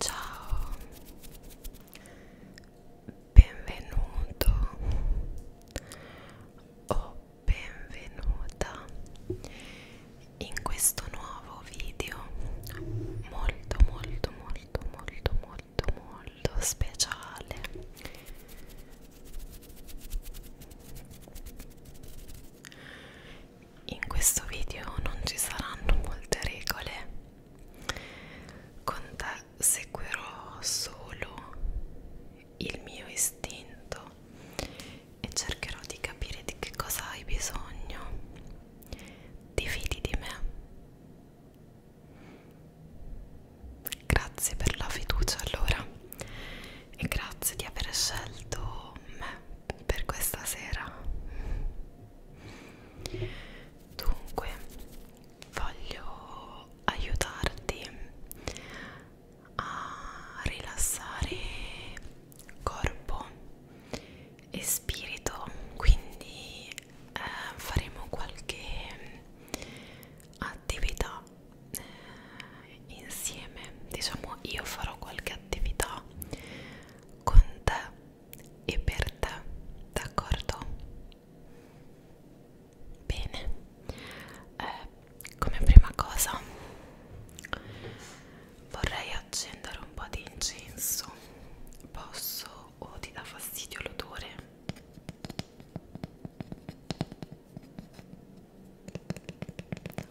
Ciao, benvenuto o benvenuta in questo nuovo video molto molto molto molto molto molto molto speciale in questo video non ci saranno molte regole con te seguirò solo il mio istinto e cercherò di capire di che cosa hai bisogno ti fidi di me? Grazie per la fiducia allora e grazie di aver scelto me per questa sera. Dunque, voglio aiutarti a rilassare corpo e spirito quindi eh, faremo qualche mm, attività eh, insieme diciamo io farò qualche attività con te e per te d'accordo bene eh, come prima cosa vorrei accendere un po' di incenso posso o oh, ti dà fastidio l'odore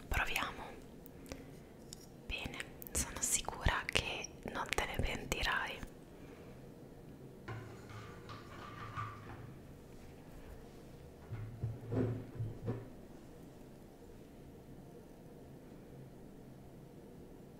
proviamo bene sono sicura che non te ne pentirai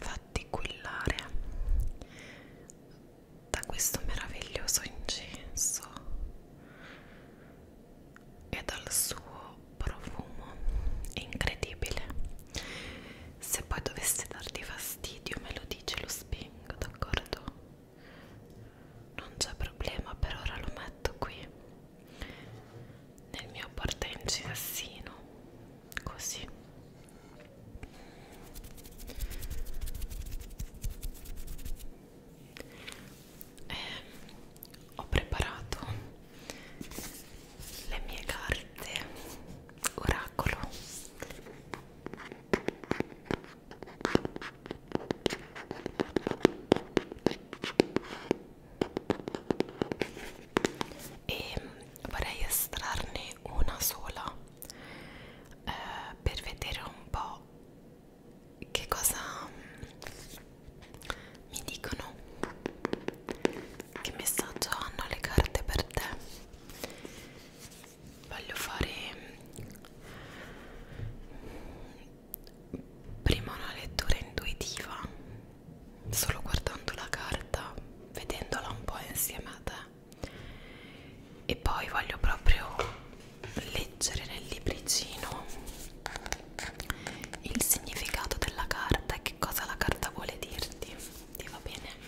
fatti quillare da questo meraviglioso incenso e dal suo profumo incredibile se poi dovesse darti fastidio me lo radice lo spengo, d'accordo? Non c'è problema, per ora lo metto qui nel mio porta incirassino, così. E ehm, ho preparato le mie carte orali miracolo e vorrei estrarne una sola eh, per vedere un po' che cosa mm, mi dicono che messaggio hanno le carte per te voglio fare prima una lettura intuitiva solo guardando la carta vedendola un po' insieme a te e poi voglio proprio leggere nel libricino il significato della carta e che cosa la carta vuole dirti ti va bene?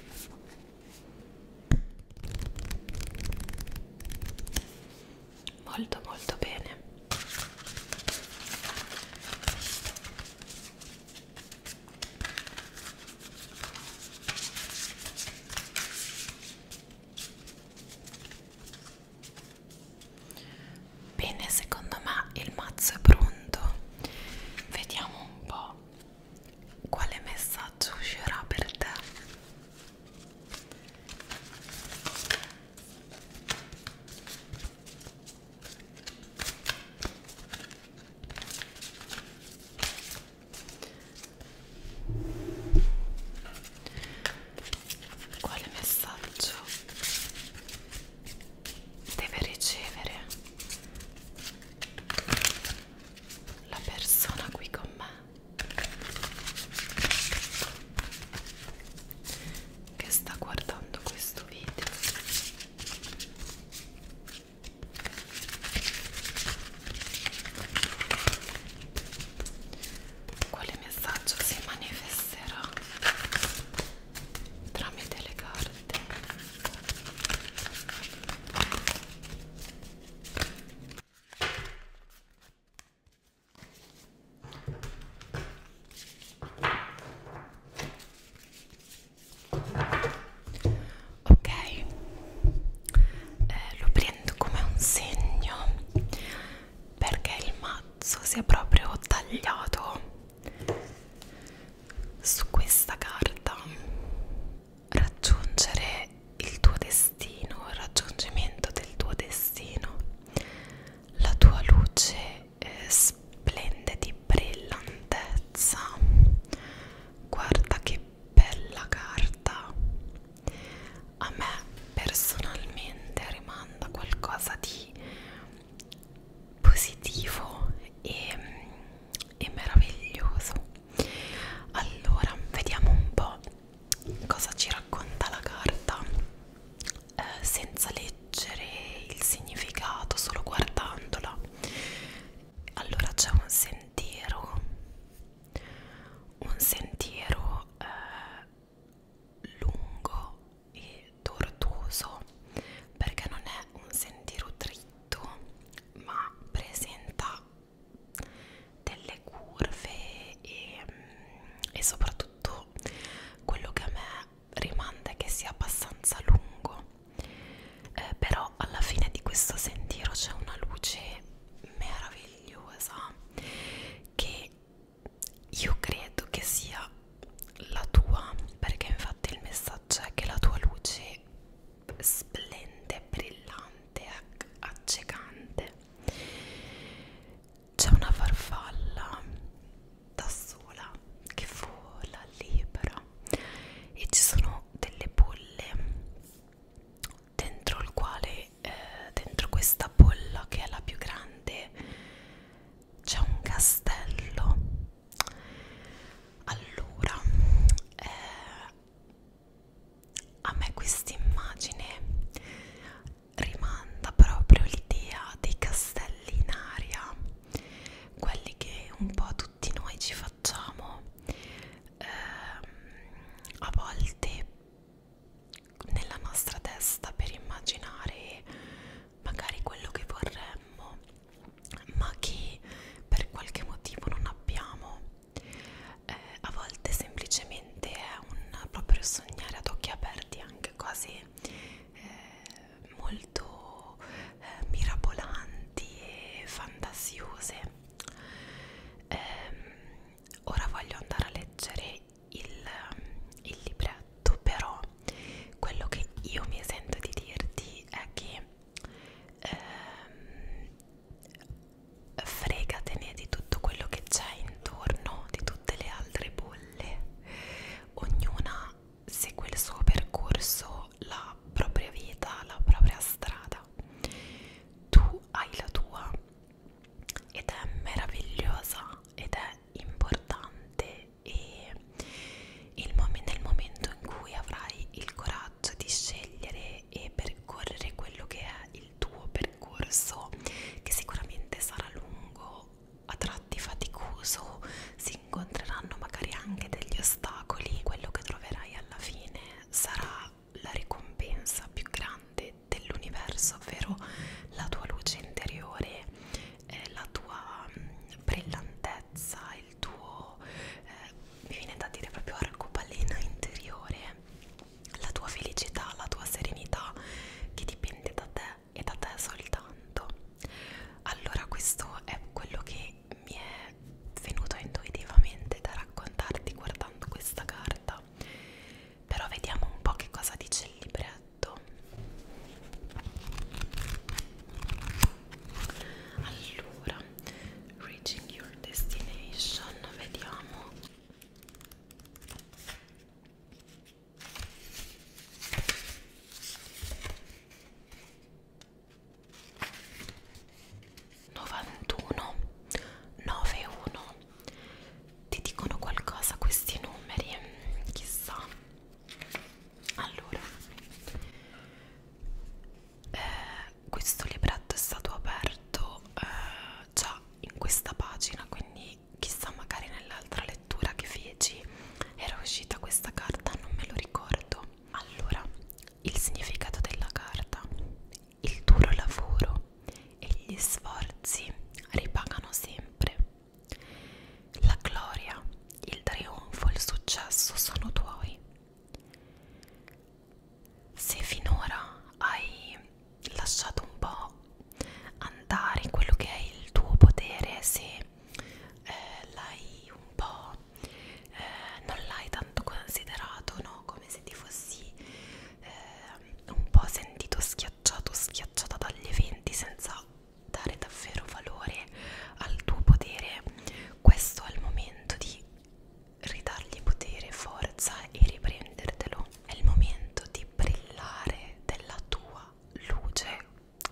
molto molto bene Bene, secondo me il mazzo è pronto. Vediamo un po' quale messaggio uscirà per te? Quale messaggio deve ricevere la persona qui con me che sta guardando questo video quale messaggio si manifesterà tramite le carte Ok, eh, lo prendo come un segno perché il mazzo si è proprio tagliato su questa carta raggiungere il tuo destino, il raggiungimento del tuo destino, la tua luce eh, splende di brillantezza. Guarda che bella carta. A me personalmente rimanda qualcosa di positivo e è meraviglioso allora vediamo un po' cosa ci racconta la carta eh, senza leggere il significato solo guardandola allora c'è un sentiero un sentiero eh, lungo e tortuoso perché non è un sentiero dritto dritto ma presenta delle curve e, mm, e soprattutto quello che a me rimanda è che sia abbastanza lungo eh, però alla fine di questo sentiero c'è una luce meravigliosa che io credo che sia la tua perché infatti il messaggio è che la tua luce splende, brillante, accecante. C'è una farfalla da sola che vola libera e ci sono delle bolle dentro il quale eh, dentro questa bolla che è la più grande c'è un castello allora eh, a me questa immagine rimanda proprio l'idea dei castelli in aria quelli che un po' tutti noi ci facciamo eh, a volte nella nostra testa per immaginare magari quello che vorremmo ma che per qualche motivo non abbiamo eh, a volte semplicemente è un proprio sognare ad occhi aperti anche quasi eh, molto eh, mirabolanti e fantasiose eh, ora voglio andare a leggere il, il libretto però quello che io mi sento di dirti è che ehm, fregatene di tutto quello che c'è intorno, di tutte le altre bolle, ognuna segue il suo percorso, la propria vita, la propria strada, tu hai la tua ed è meravigliosa ed è importante e il mom nel momento in cui avrai il coraggio di scegliere e percorrere quello che è il tuo percorso, che sicuramente sarà lungo, a tratti faticoso, si incontreranno magari anche degli ostacoli, quello che troverai alla fine sarà la ricompensa più grande dell'universo, ovvero la tua luce interiore, eh, la tua mm, brillantezza, il tuo eh, mi viene da dire proprio arcobalena interiore la tua felicità la tua serenità che dipende da te e da te soltanto allora questo è quello che mi è venuto intuitivamente da raccontarti guardando questa carta però vediamo un po' che cosa dice il libretto allora reaching your destination vediamo Novantuno, nove uno. Ti dicono qualcosa questi numeri? Chissà allora eh, questo libretto è stato aperto eh, già in questa pagina quindi chissà magari nell'altra lettura che feci era uscita questa carta non me lo ricordo allora il significato della carta il duro lavoro e gli sforzi ripagano sempre la gloria il trionfo il successo sono tuoi se finora hai lasciato un po' andare quello che è il tuo potere, se eh, l'hai un po' eh, non l'hai tanto considerato, no? Come se ti fossi eh, un po' sentito schiacciato, schiacciata dagli eventi senza dare davvero valore al tuo potere questo è il momento di ridargli potere, forza e riprendertelo. È il momento di brillare della tua luce,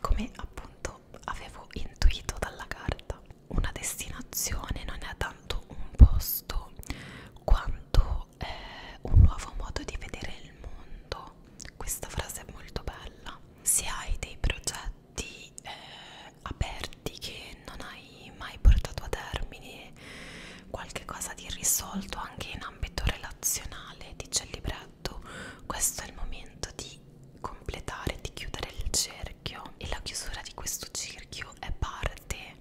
come appunto avevo intuito dalla carta. Una destinazione non è tanto un posto quanto eh, un nuovo modo di vedere il mondo. Questa frase è molto bella. Se hai dei progetti progetti eh, aperti che non hai mai portato a termine, qualche cosa di irrisolto anche in ambito relazionale, dice il libretto, questo è il momento di completare, di chiudere il cerchio e la chiusura di questo cerchio è parte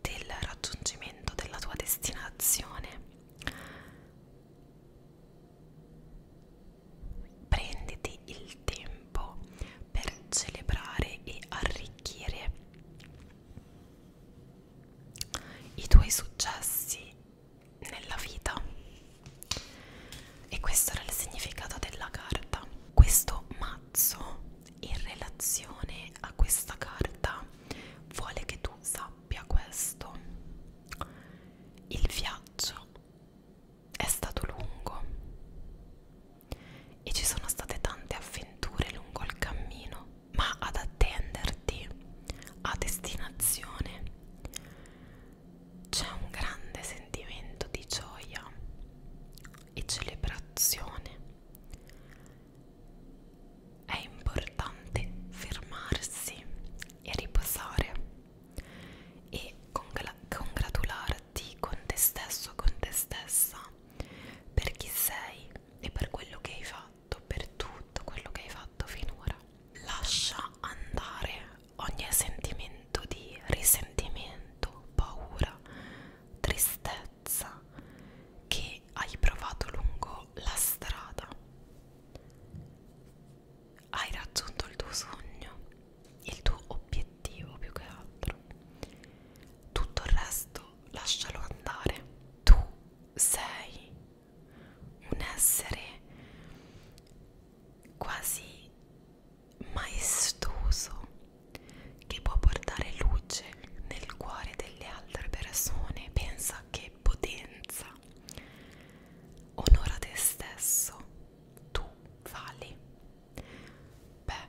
del raggiungimento della tua destinazione prenditi il tempo per celebrare e arricchire i tuoi successi nella vita e questo era il significato della carta questo mazzo in relazione a questa carta vuole che tu sappia questo il viaggio è stato lungo e ci sono state tante avventure lungo il cammino, ma ad attenderti a destinazione c'è un grande sentimento di gioia e celebrazione. È importante fermarsi e riposare e congratularti con te stesso, con te stessa per chi sei e per quello che hai fatto, per tutto quello che hai fatto finora. Lascia andare ogni sentimento di risentimento, paura, tristezza che hai provato lungo la strada hai raggiunto il tuo sogno, il tuo obiettivo più che altro. Tutto il resto lascialo andare. Tu sei un essere quasi maestoso che può portare luce nel cuore delle altre persone. Pensa che potenza. Onora te stesso tu vali beh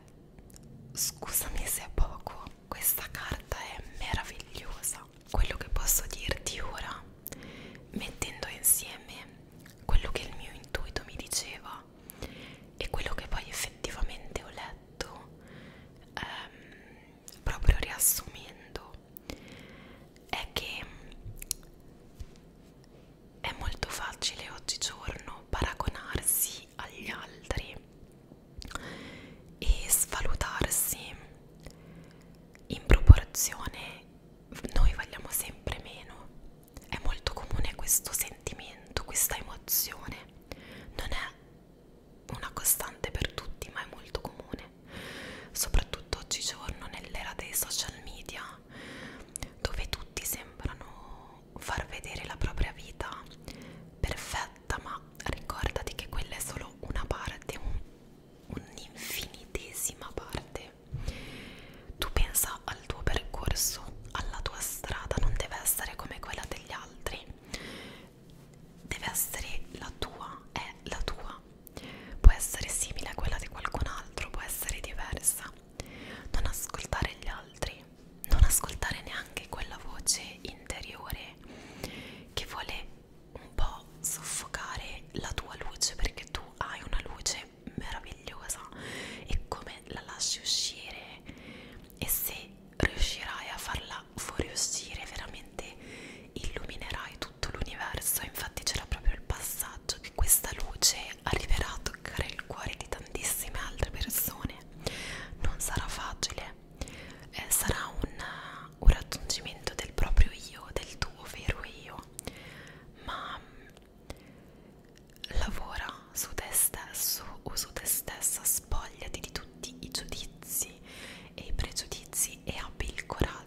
scusami se è poco questa carta è meravigliosa quello che posso dirti ora mettendo insieme quello che il mio intuito mi diceva e quello che poi effettivamente ho letto ehm, proprio riassumendo è che è molto facile oggigiorno paragonarsi agli altri e svalutarsi in proporzione noi vogliamo sempre meno è molto comune questo sentimento questa emozione non è una costante per tutti ma è molto comune soprattutto oggigiorno nell'era dei social media società dove tutti sembrano far vedere la propria vita perfetta, ma ricordati che quella è solo una parte, un'infinitesima un parte. Tu pensa al tuo percorso, alla tua strada, non deve essere come quella degli altri, deve essere la tua, è la tua può essere simile a quella di qualcun altro, può essere diversa. Non ascoltare gli altri, non ascoltare neanche quella voce interiore che vuole un po' soffocare la tua luce perché tu hai una luce meravigliosa e come la lasci uscire e se riuscirai a farla fuoriuscire veramente illuminerai tutto l'universo infatti c'era proprio il passaggio messaggio che questa luce arriverà a toccare il cuore di tantissime altre persone. Non sarà facile, eh, sarà un, uh, un raggiungimento del proprio io, del tuo vero io, ma mm, lavora su te stesso o su te stessa, spogliati di tutti i giudizi e i pregiudizi e abbi il coraggio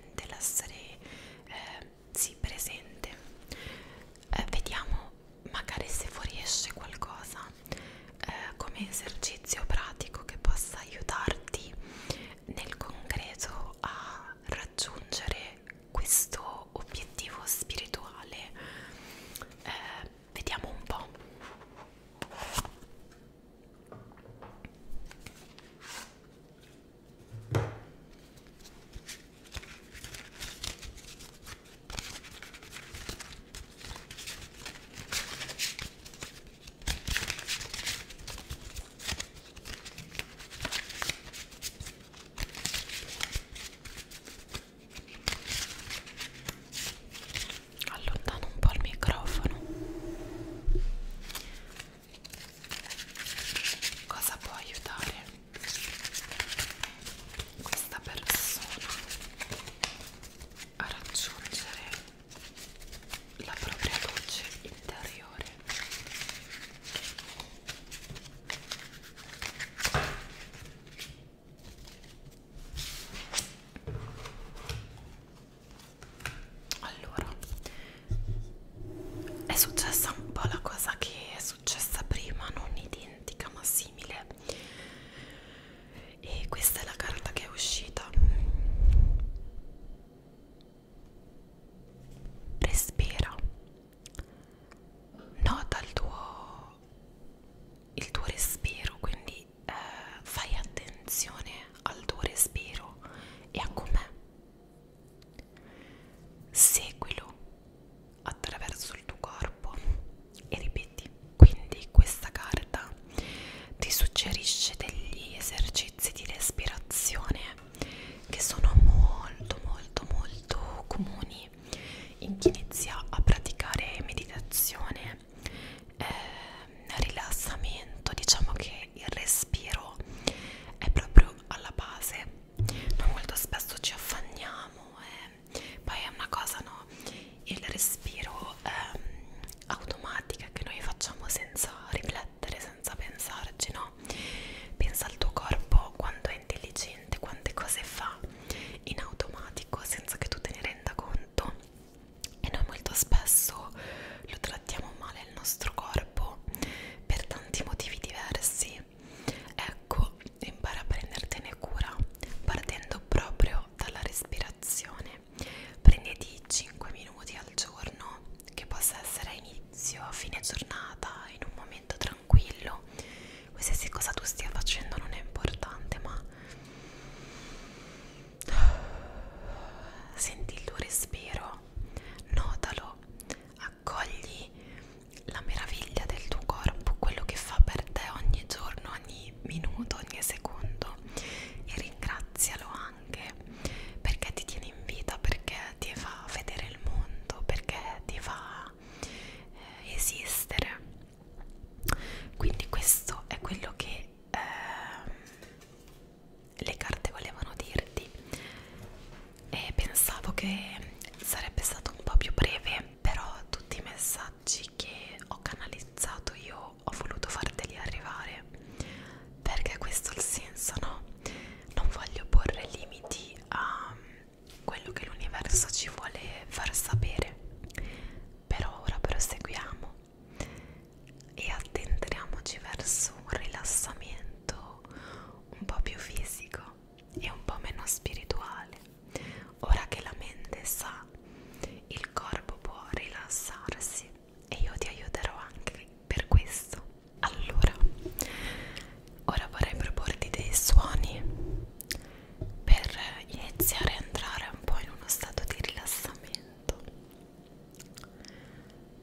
presente, l'essere eh, sì, presente. Eh, vediamo magari se fuoriesce qualcosa eh, come esercizio pratico che possa aiutarti nel concreto a raggiungere questo obiettivo spirituale. Eh, vediamo un po'. Allontano un po' il microfono cosa può aiutare questa persona a raggiungere la propria luce interiore allora è successa un po' la cosa che è successa prima non identica ma simile e questa è la carta che è uscita respira nota il tuo il tuo respiro quindi eh, fai attenzione al tuo respiro e a com'è. Seguilo attraverso il tuo corpo e ripeti. Quindi questa carta ti suggerisce degli esercizi di respirazione che sono molto molto molto comuni in chi inizia a praticare meditazione eh, rilassamento diciamo che il respiro è proprio alla base noi molto spesso ci affanniamo e eh. poi è una cosa no il respiro ehm, automatica che noi facciamo senza riflettere senza pensarci no pensa al tuo corpo quanto è intelligente quante cose fa in automatico senza che tu te ne renda conto e noi molto spesso lo trattiamo male il nostro corpo per tanti motivi diversi. Ecco, impara a prendertene cura partendo proprio dalla respirazione. Prenditi 5 minuti al giorno, che possa essere a inizio, a fine giornata, in un momento tranquillo. Qualsiasi cosa tu stia facendo non è importante, ma Senti il tuo respiro, notalo, accogli la meraviglia del tuo corpo, quello che fa per te ogni giorno, ogni minuto, ogni secondo e ringrazialo anche perché ti tiene in vita, perché ti fa vedere il mondo, perché ti fa eh, esistere. Quindi questo è quello che... Eh, le carte volevano dirti e pensavo che sarebbe stato un po' più breve però tutti i messaggi che ho canalizzato io ho voluto farteli arrivare perché questo è il senso no? non voglio porre limiti a quello che l'universo ci vuole far sapere però ora proseguiamo e addentriamoci verso un rilassamento un po' più fisico e un po' meno spirituale. Ora che la mente sa, il corpo può rilassarsi e io ti aiuterò anche per questo. Allora, ora vorrei proporti dei suoni per iniziare a entrare un po' in uno stato di rilassamento.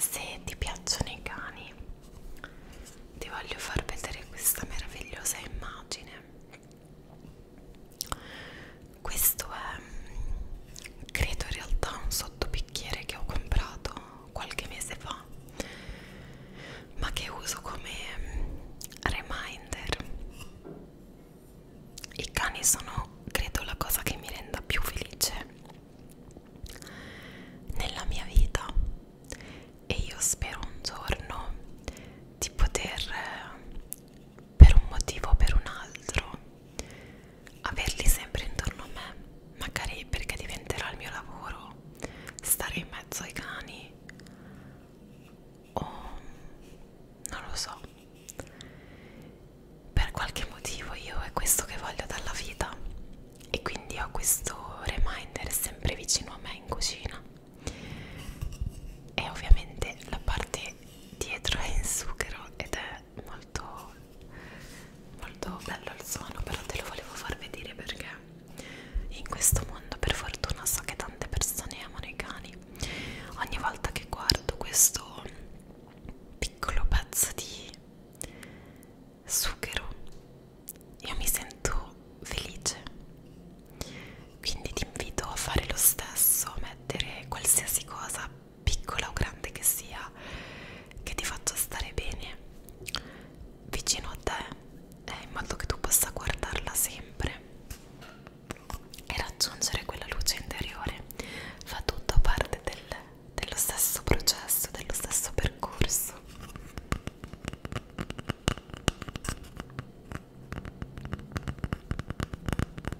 Se ti piacciono i cani, ti voglio far vedere questa meravigliosa immagine questo è mm, credo in realtà un sottobicchiere che ho comprato qualche mese fa ma che uso come mm, reminder i cani sono credo la cosa che mi renda più felice nella mia vita e io spero un giorno di poter eh, per un motivo o per un altro, averli sempre intorno a me, magari perché diventerà il mio lavoro, stare in mezzo ai cani o non lo so. Per qualche motivo io è questo che voglio dalla vita e quindi ho questo reminder sempre vicino a me in cucina e ovviamente la parte dietro è in sughero ed è è molto molto bello il suono però te lo volevo far vedere perché in questo mondo per fortuna so che tante persone amano i cani ogni volta che guardo questo piccolo pezzo di sughero io mi sento felice quindi ti invito a fare lo stesso a mettere qualsiasi cosa piccola o grande che sia, che ti faccia stare bene vicino a te, eh, in modo che tu possa guardarla sempre e raggiungere quella luce interiore. Fa tutto parte del, dello stesso processo, dello stesso percorso.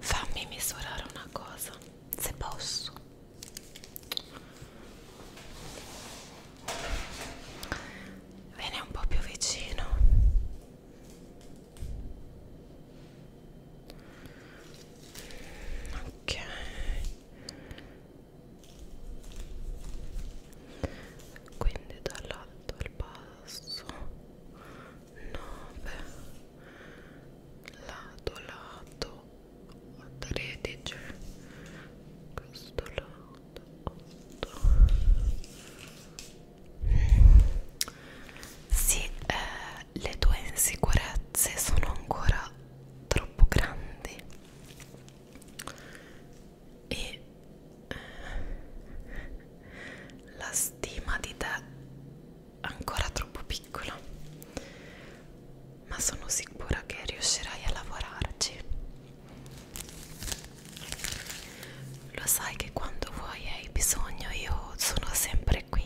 Fammi misurare una cosa, se posso. Viene un po' più vicino. Ok. Quindi dall'alto al basso. 9 lato lato 13 questo lato sì, eh, le tue insicurezze sono ancora troppo grandi e eh, la stima di te ancora troppo piccola ma sono sicura che riuscirai a lavorarci lo sai che quando vuoi e hai bisogno io sono sempre qui,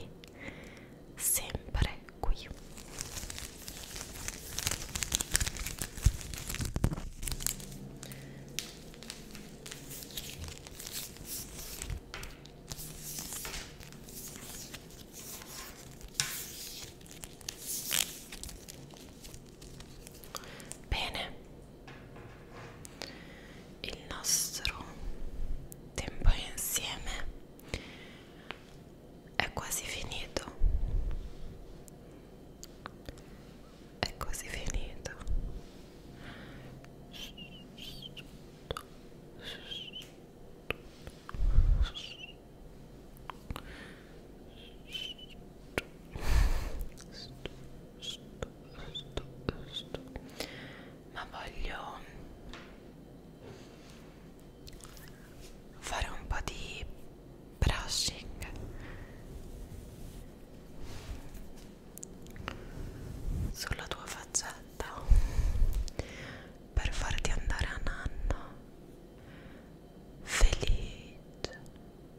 sempre qui. Bene, il nostro tempo insieme è quasi finito. È quasi finito sto, sto, sto, sto. ma voglio fare un po' di brushing sulla tua faccetta per farti andare a nanna felice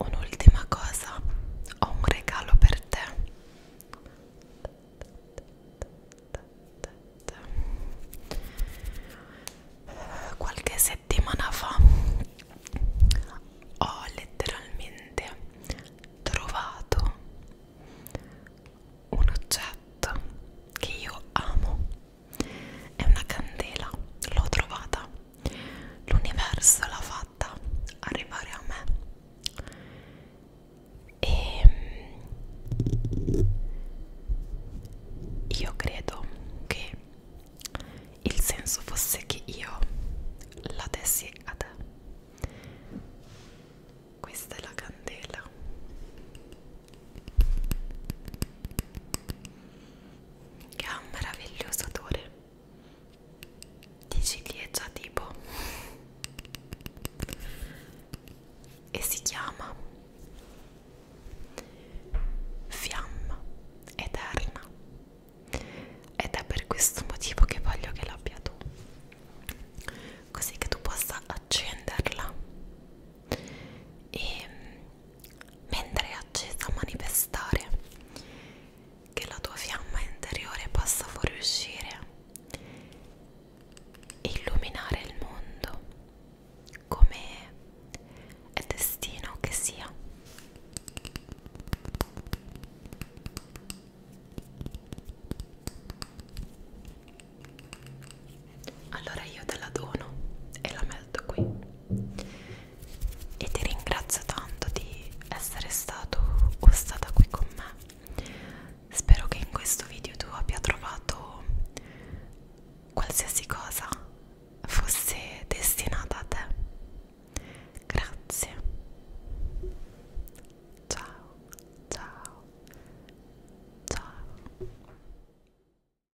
Un'ultima cosa, ho un regalo per te. Qualche settimana fa ho letteralmente trovato un oggetto che io amo è una candela, l'ho trovata. L'universo l'ha fatta arrivare a me. E ehm, io credo che il senso fosse che io la dessi a te. Questa è la candela che ha un meraviglioso odore di ciliegia tipo e si chiama Fiamma Eterna ed è per questo motivo che voglio che l'abbia tu così che tu possa accenderla e mentre è accesa a manifestare che la tua fiamma interiore possa fuoriuscire e illuminare il mondo come è destino che sia allora io te la dono e la metto qui e ti ringrazio tanto di essere stato o stata qui con me spero che in questo video tu abbia trovato qualsiasi cosa fosse destinata a te grazie ciao ciao ciao